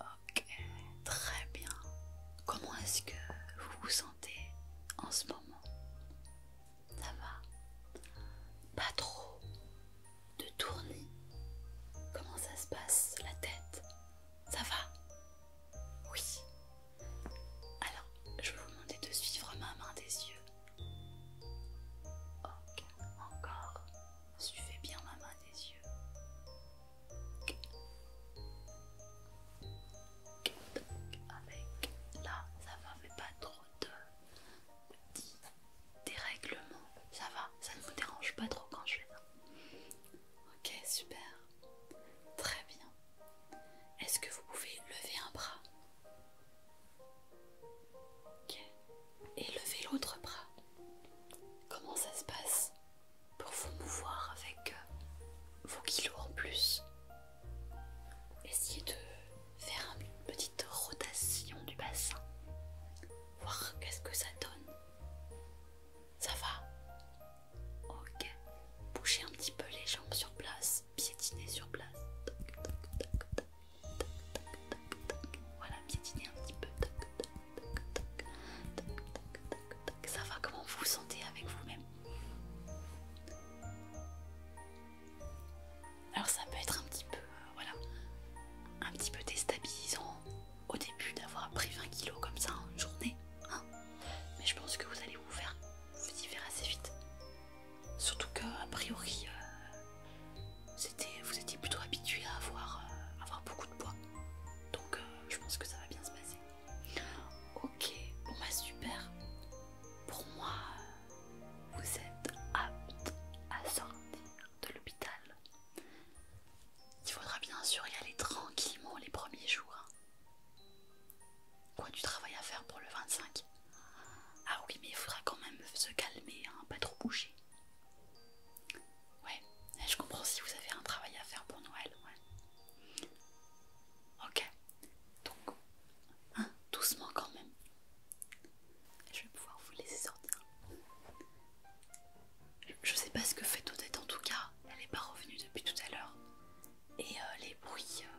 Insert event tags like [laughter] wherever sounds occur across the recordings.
Ok, très bien. Comment est-ce que vous vous sentez en ce moment Ça va Pas trop de tournis Comment ça se passe la tête Ça va Oui. Alors, je vais vous demander de suivre ma main des yeux Ok, encore. Suivez bien ma main des yeux. Donc, avec là, ça va, mais pas trop de petits dérèglements. Ça va, ça ne vous dérange pas trop quand je fais ça. Ok, super. Très bien. Est-ce que vous pouvez lever un bras Ok. Et levez l'autre bras. Comment ça se passe pour vous mouvoir avec euh, vos kilos en plus Essayez de faire une petite rotation du bassin. Voir qu'est-ce que ça donne. Ça va Ok. Bougez un petit peu les jambes sur place piétiner sur place. Voilà, piétiner un petit peu. Ça va, comment vous vous sentez avec vous-même Alors ça peut être un petit peu, euh, voilà, un petit peu déstabilisant au début d'avoir pris 20 kilos comme ça en une journée. Hein. mais je pense que vous allez vous faire vous y faire assez vite. Surtout qu'a priori, euh, vous étiez plutôt habitué à avoir, euh, avoir beaucoup de poids. Donc euh, je pense que ça va bien se passer. Ok, bon bah super. Pour moi, vous êtes apte à sortir de l'hôpital. Il faudra bien sûr y aller tranquillement les premiers jours. Hein. Quoi du travail à faire pour le 25 ah oui, mais il faudra quand même se calmer, hein, pas trop bouger. Ouais, je comprends si vous avez un travail à faire pour Noël. Ok, donc, hein, doucement quand même. Je vais pouvoir vous laisser sortir. Je sais pas ce que fait Odette en tout cas, elle n'est pas revenue depuis tout à l'heure. Et euh, les bruits euh,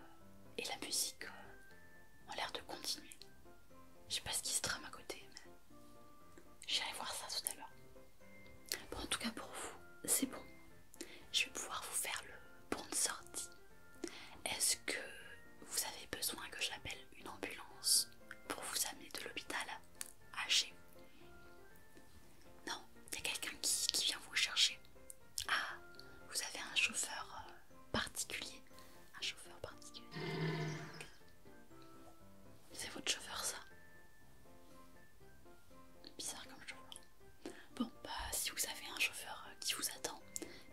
et la musique euh, ont l'air de continuer. Je sais pas ce qui se trame à côté, mais j'irai voir ça tout à l'heure. Bon, en tout cas pour vous, c'est bon. Je vais pouvoir vous faire le bon de sortie. Est-ce que vous avez besoin que j'appelle une ambulance pour vous amener de l'hôpital à chez Non, il y a quelqu'un qui vient vous chercher. Ah, vous avez un chauffeur euh, particulier un chauffeur particulier. C'est votre chauffeur ça Bizarre comme chauffeur. Bon bah si vous avez un chauffeur euh, qui vous attend,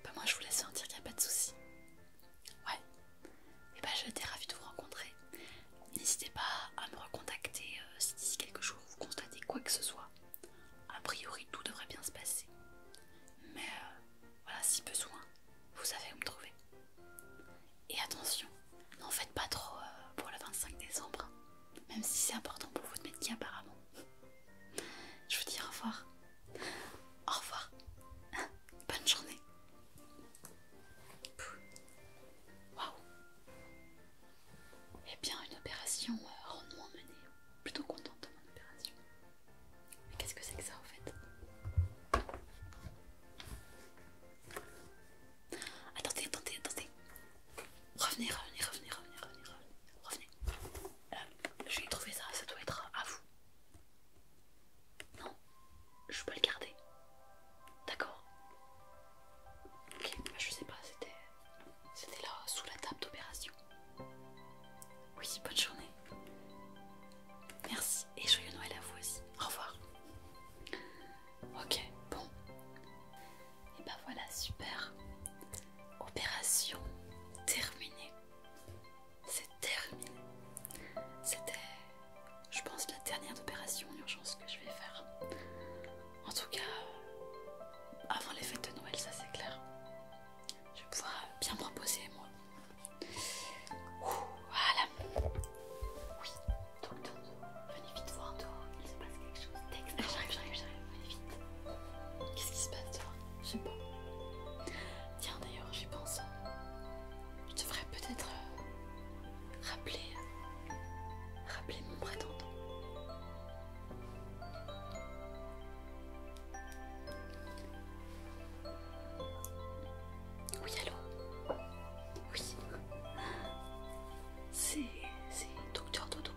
bah moi je vous laisse sentir qu'il n'y a pas de souci. Ouais. Et eh bah j'étais ravie de vous rencontrer. N'hésitez pas à me recontacter euh, si d'ici quelques jours vous constatez quoi que ce soit. A priori tout devrait bien se passer. Mais euh, voilà, si besoin, vous savez où me trouver. Et attention, n'en faites pas trop euh, pour le 25 décembre, même si c'est important pour vous de mettre apparemment. Je vous dis au revoir. Au revoir. [laughs] Bonne journée. Waouh. Eh bien, une opération euh, rendement menée. Plutôt contente de mon opération. Mais qu'est-ce que c'est que ça en fait Attendez, attendez, attendez. Revenez, revenez, revenez, revenez, revenez, revenez. Euh, je vais trouver ça, ça doit être à vous. Non, je peux le garder. D'accord. Ok, je sais pas, c'était là sous la table d'opération. Oui, bonne journée. Merci et joyeux Noël à vous aussi. Au revoir. Ok, bon. Et ben voilà, super. Opération terminée. C'est terminé. C'était, je pense, la dernière opération d'urgence que je vais faire. En tout cas, avant les fêtes de Noël, ça c'est clair. Je vais pouvoir euh, bien me reposer moi. voilà. Oui. Donc, venez vite voir toi. Il se passe quelque chose. Texte. Ah, j'arrive, j'arrive, j'arrive. Venez vite. Qu'est-ce qui se passe toi Je sais pas. Tiens, d'ailleurs, j'y pense. Je devrais peut-être euh, rappeler, euh, rappeler mon prétendant. Oui, allô Oui. C'est... c'est docteur Dodo.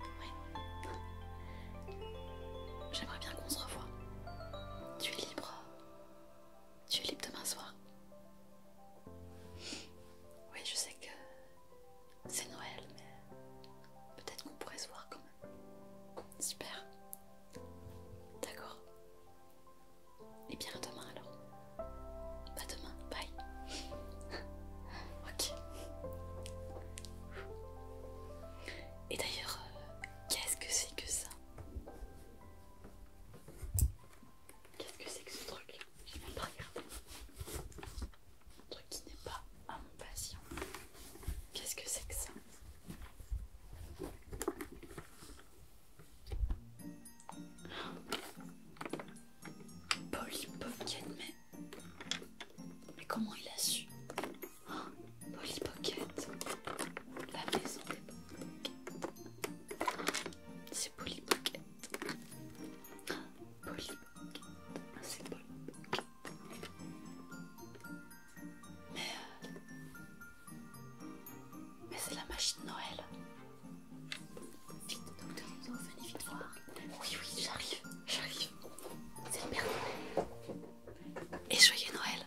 Oui. J'aimerais bien qu'on se revoie. Tu es libre. Tu es libre demain soir. Oui, je sais que c'est Noël, mais peut-être qu'on pourrait se voir quand Super. D'accord. Et eh bien à demain alors. Pas demain, bye. [laughs] ok. Et d'ailleurs, euh, qu'est-ce que c'est que ça Qu'est-ce que c'est que ce truc J'ai même pas regardé. Un truc qui n'est pas à mon patient. Qu'est-ce que c'est que ça Polly Pocket, mais... Mais comment il a su Pocket La maison des Polly C'est Polly Pocket C'est Polly euh, mais... c'est la machine Noël. Vite, docteur venez vite voir. Oui, oui, j'arrive, j'arrive. C'est le Père Noël. Et joyeux Noël.